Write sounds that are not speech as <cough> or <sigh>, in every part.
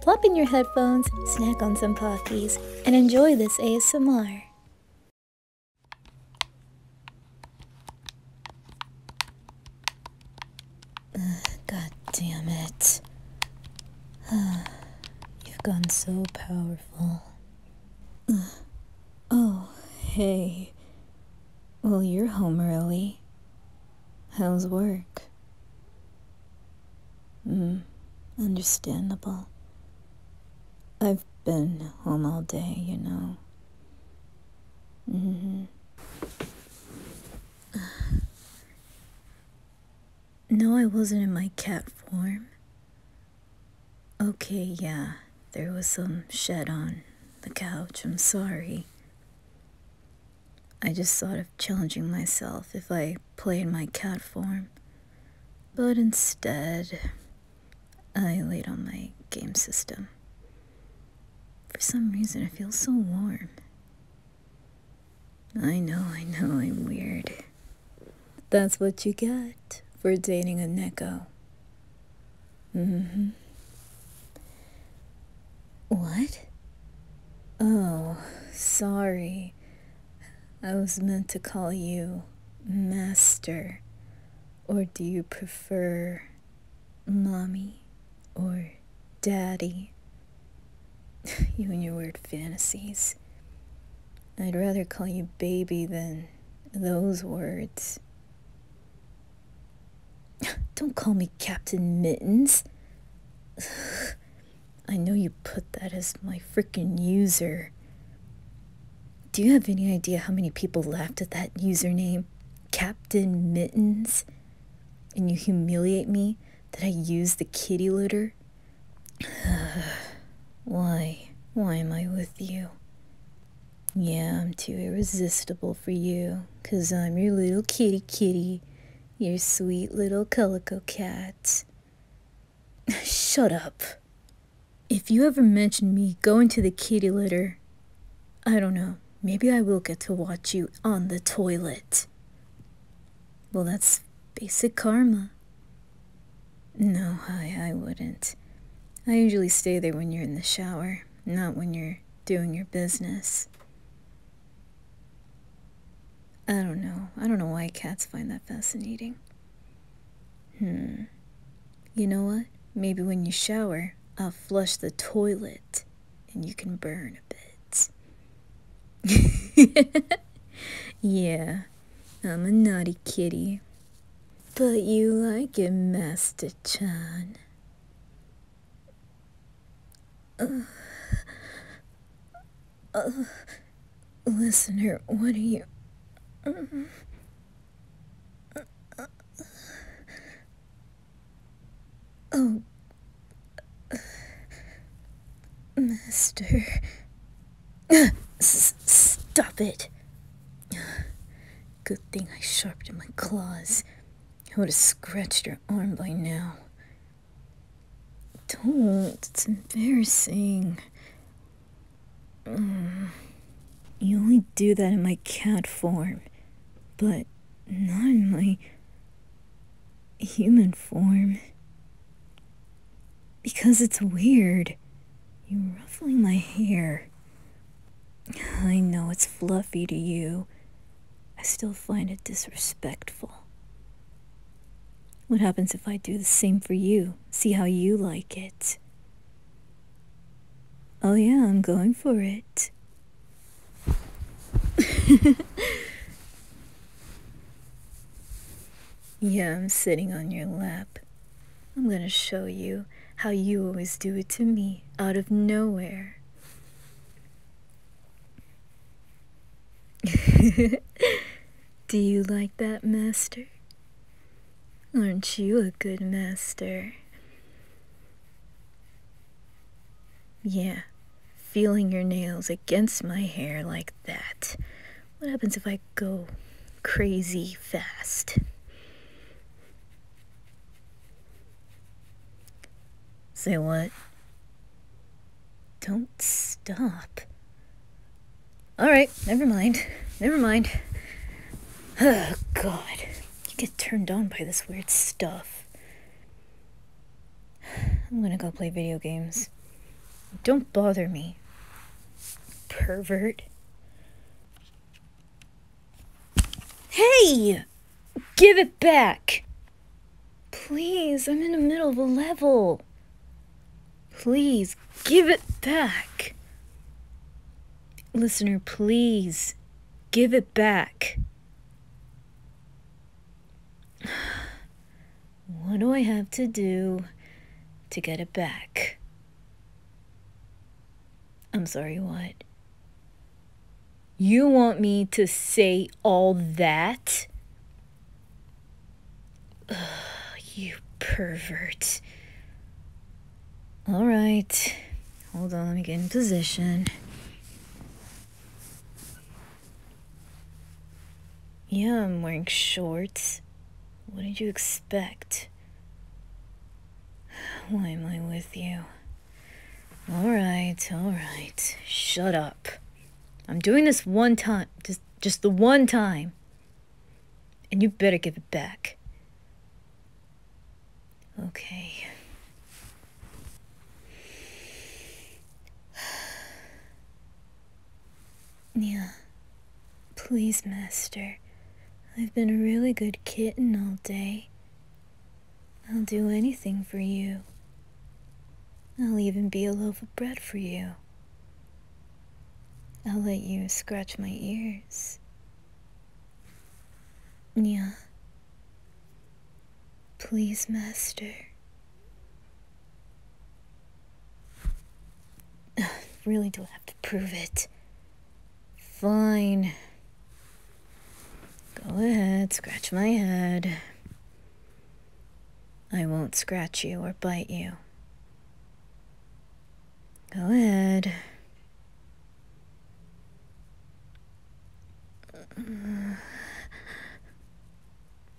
plop in your headphones, snack on some Pockies, and enjoy this ASMR. God damn it. <sighs> You've gone so powerful. Oh, hey. Well, you're home early. How's work? Hmm, understandable. I've been home all day, you know. Mm hmm. <sighs> No, I wasn't in my cat form. Okay, yeah, there was some shed on the couch. I'm sorry. I just thought of challenging myself if I played my cat form, but instead, I laid on my game system. For some reason, I feel so warm. I know, I know, I'm weird. That's what you get for dating a Neko. Mm hmm. What? Oh, sorry. I was meant to call you Master. Or do you prefer Mommy or Daddy? <laughs> you and your weird fantasies. I'd rather call you baby than those words. <laughs> Don't call me Captain Mittens. <sighs> I know you put that as my freaking user. Do you have any idea how many people laughed at that username, Captain Mittens? And you humiliate me that I use the kitty looter. <sighs> Why? Why am I with you? Yeah, I'm too irresistible for you, cause I'm your little kitty kitty, your sweet little calico cat. <laughs> Shut up. If you ever mention me going to the kitty litter, I don't know, maybe I will get to watch you on the toilet. Well, that's basic karma. No, I, I wouldn't. I usually stay there when you're in the shower, not when you're doing your business. I don't know. I don't know why cats find that fascinating. Hmm. You know what? Maybe when you shower, I'll flush the toilet and you can burn a bit. <laughs> yeah, I'm a naughty kitty. But you like it, Master Chan. Uh, uh, listener, what are you... Uh, uh, oh, Master... <laughs> S stop it. <sighs> Good thing I sharpened my claws. I would have scratched your arm by now. Don't, it's embarrassing. Mm, you only do that in my cat form, but not in my human form. Because it's weird. You're ruffling my hair. I know it's fluffy to you. I still find it disrespectful. What happens if I do the same for you? See how you like it. Oh, yeah, I'm going for it. <laughs> yeah, I'm sitting on your lap. I'm gonna show you how you always do it to me out of nowhere. <laughs> do you like that, Master? Aren't you a good master? Yeah, feeling your nails against my hair like that what happens if I go crazy fast? Say what? Don't stop. Alright, never mind. Never mind. Oh, <sighs> God. You get turned on by this weird stuff. I'm gonna go play video games. Don't bother me. Pervert. Hey! Give it back! Please, I'm in the middle of a level. Please, give it back. Listener, please, give it back. What do I have to do to get it back? I'm sorry, what? You want me to say all that? you pervert. All right. Hold on, let me get in position. Yeah, I'm wearing shorts. What did you expect? Why am I with you? Alright, alright. Shut up. I'm doing this one time. Just, just the one time. And you better give it back. Okay. Yeah. Please, Master. I've been a really good kitten all day. I'll do anything for you. I'll even be a loaf of bread for you. I'll let you scratch my ears. Yeah. Please, Master. Ugh, <sighs> really don't have to prove it. Fine. Go ahead, scratch my head. I won't scratch you or bite you. Go ahead.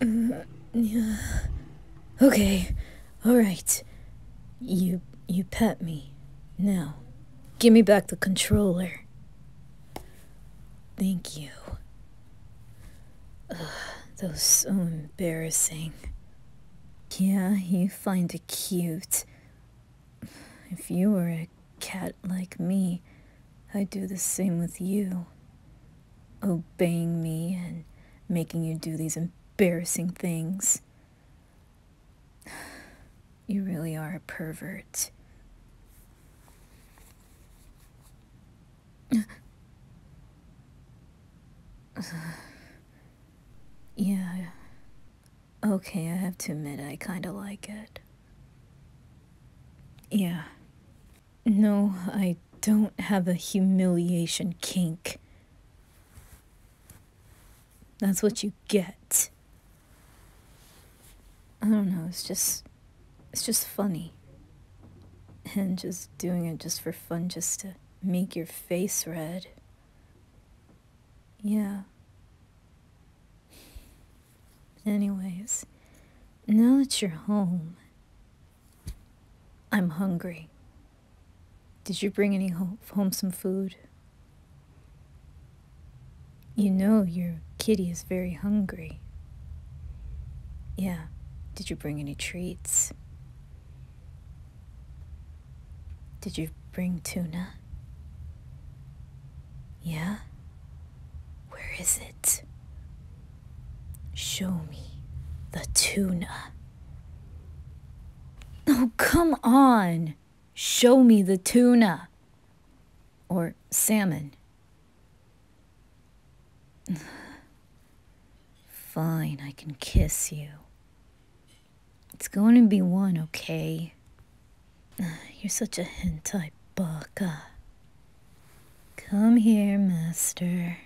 Mm, yeah. Okay. All right. You you pet me. Now, give me back the controller. Thank you. Ugh, that was so embarrassing. Yeah, you find it cute. If you were a cat like me, I'd do the same with you obeying me and making you do these embarrassing things. You really are a pervert. yeah. Okay, I have to admit, I kinda like it. Yeah. No, I don't have a humiliation kink. That's what you get. I don't know, it's just it's just funny. And just doing it just for fun just to make your face red. Yeah. Anyways, now that you're home, I'm hungry. Did you bring any home, home some food? You know your kitty is very hungry. Yeah, did you bring any treats? Did you bring tuna? Yeah? Where is it? Show me the tuna. Oh, come on! Show me the tuna! Or salmon. <sighs> Fine, I can kiss you. It's going to be one, okay? <sighs> You're such a hentai baka. Come here, master.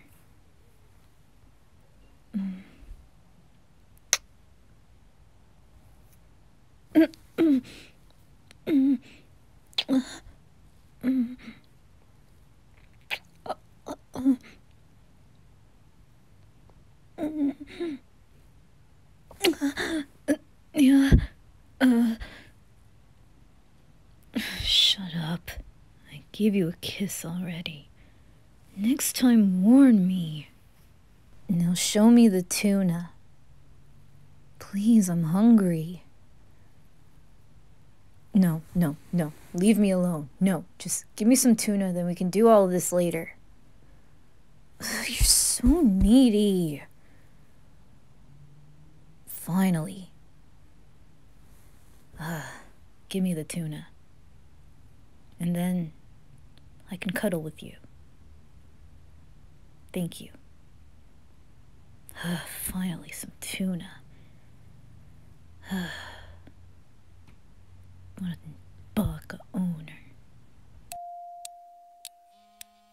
<clears throat> Yeah. Uh, shut up. I gave you a kiss already. Next time, warn me. Now show me the tuna. Please, I'm hungry. No, no, no. Leave me alone. No, just give me some tuna, then we can do all this later. <sighs> you're so needy. Finally. Ugh, <sighs> give me the tuna. And then I can cuddle with you. Thank you. Ugh, <sighs> finally, some tuna. what a bug owner.